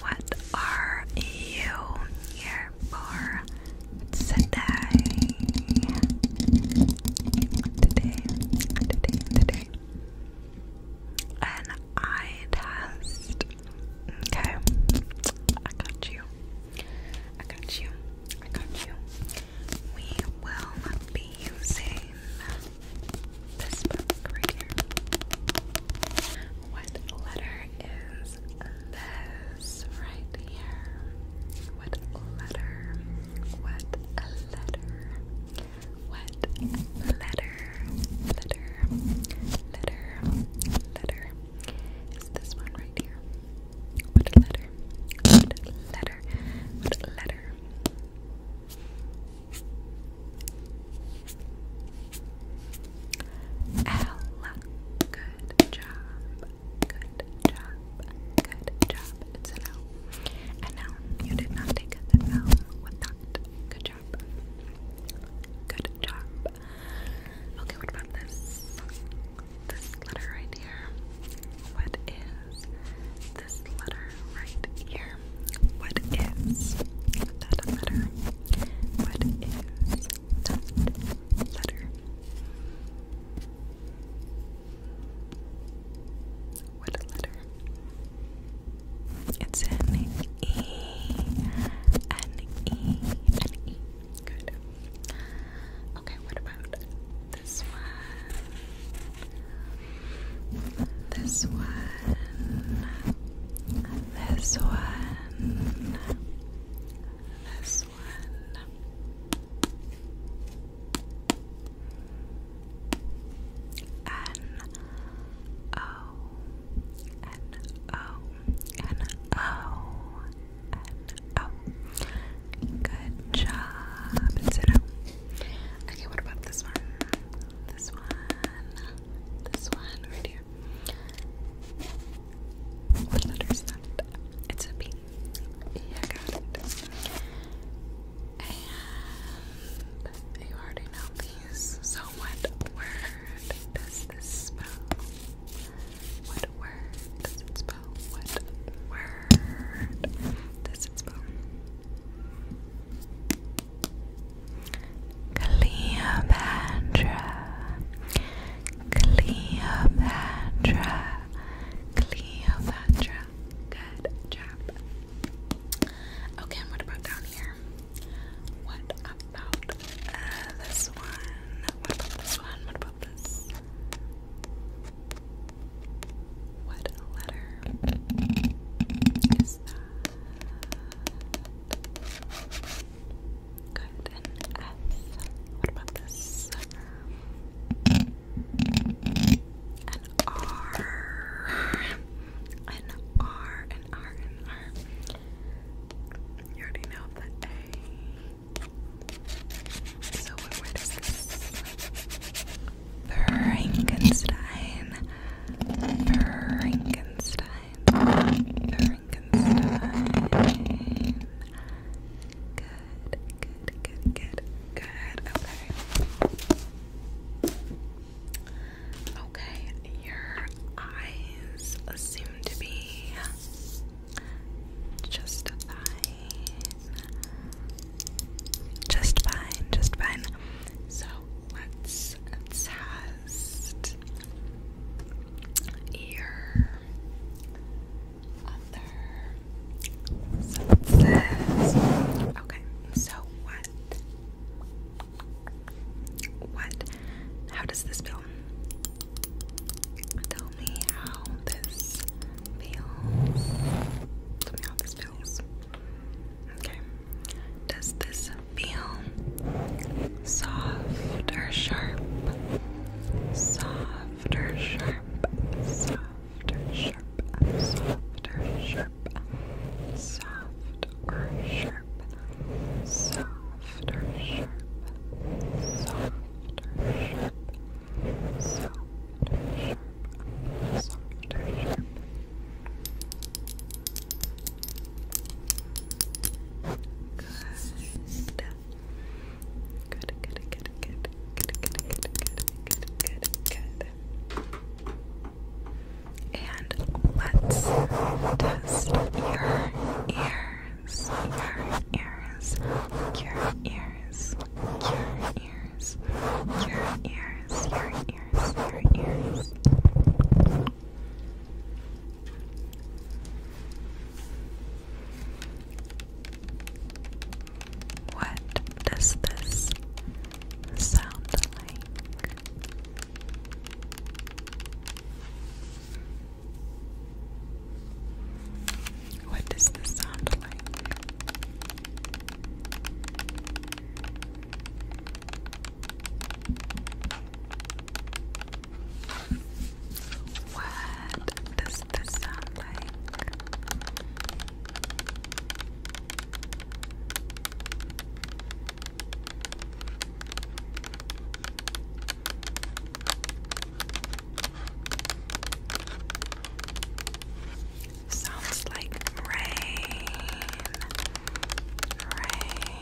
What are you here for today? Today, today, today. An eye test. Okay, I got you. I got you. I got you. We will be using this book right here. What letter is this right here? What letter? What letter? What letter? Letter. Letter. Letter. Is this one right here? What letter? What letter? What letter? Ella. Good job. Good job. Good job. It's an L. And now you did not take the L with that. Good job. Good job. Okay, what about this? This letter right here. What is this letter right here. What is that letter? What is that letter? What letter? It's an E. An E. An E. Good. Okay, what about this one? this one, this one, this one. N O N O N O N O. Good job. Sit down. Okay, what about this one? This one, this one, right here. What letter It's a B. Yeah, And you already know these. So, what word does this spell? What word does it spell? What word Medicine Spoon. Cleopatra, Cleopatra, Cleopatra. Good job. Okay, what about down here? What about uh, this one? What about this one? What about this? What letter is that? Good, an F. What about this? An R. An R, an R, an R. You already know the A. So, what word is this? Frankenstein, Frankenstein, Frankenstein. Good, good, good, good, good. Okay. Okay, your eyes seem to be just fine. Just fine, just fine. So let's test your other senses. Okay, so what? What? How does this feel? tell me how this feels. Tell me how this feels. Okay. Does this feel soft or sharp? Soft or sharp? Soft or sharp? Soft or sharp? Soft or sharp? Soft or sharp? Soft or sharp? Soft or sharp? good, good, good, good, good, good, good, good, good. And let's test your ear ears, your ears, your ears, your ears, your ears, your ears, your ears. What does this sound like? What does this sound like? What does this sound like? Sounds like rain. Rain. Rain.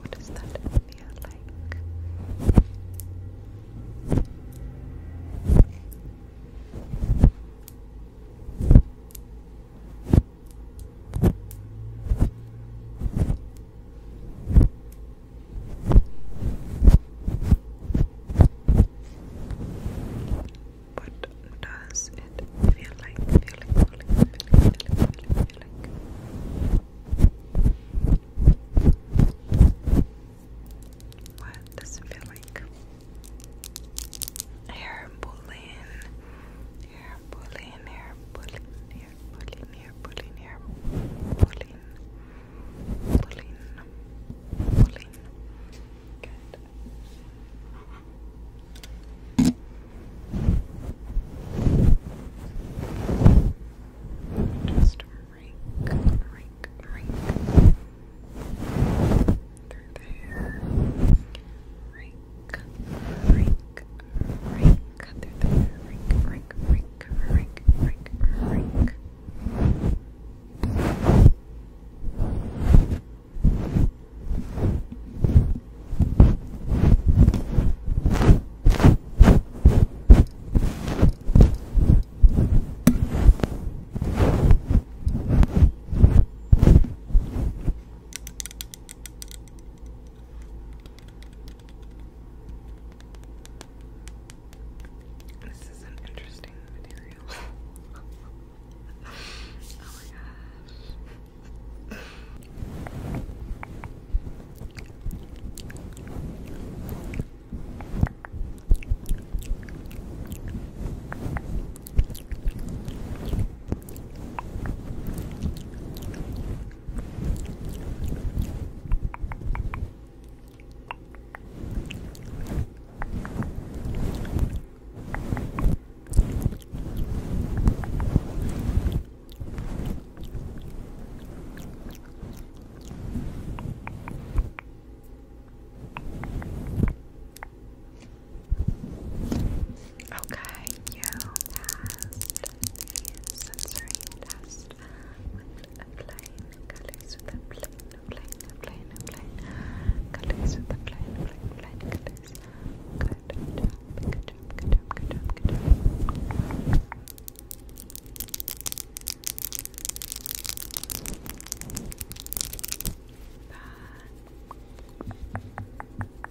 What does that feel like? Good. What does it feel like? What does it feel like? Hair pulling, hair pulling, hair pulling, here, pulling here, pulling here, pulling, pulling, pulling. Good. Just rake, rake, rake. Through there. Rake, rink, cut through the rink, rink, rink, rink, rink, rink. This is an interesting material. oh my gosh. Okay, you the sensory test with applying colors with a plain, plain, plain, plain colors with a plain, plain, plain colors. Good job, good job, good job, good job, good job. Bye.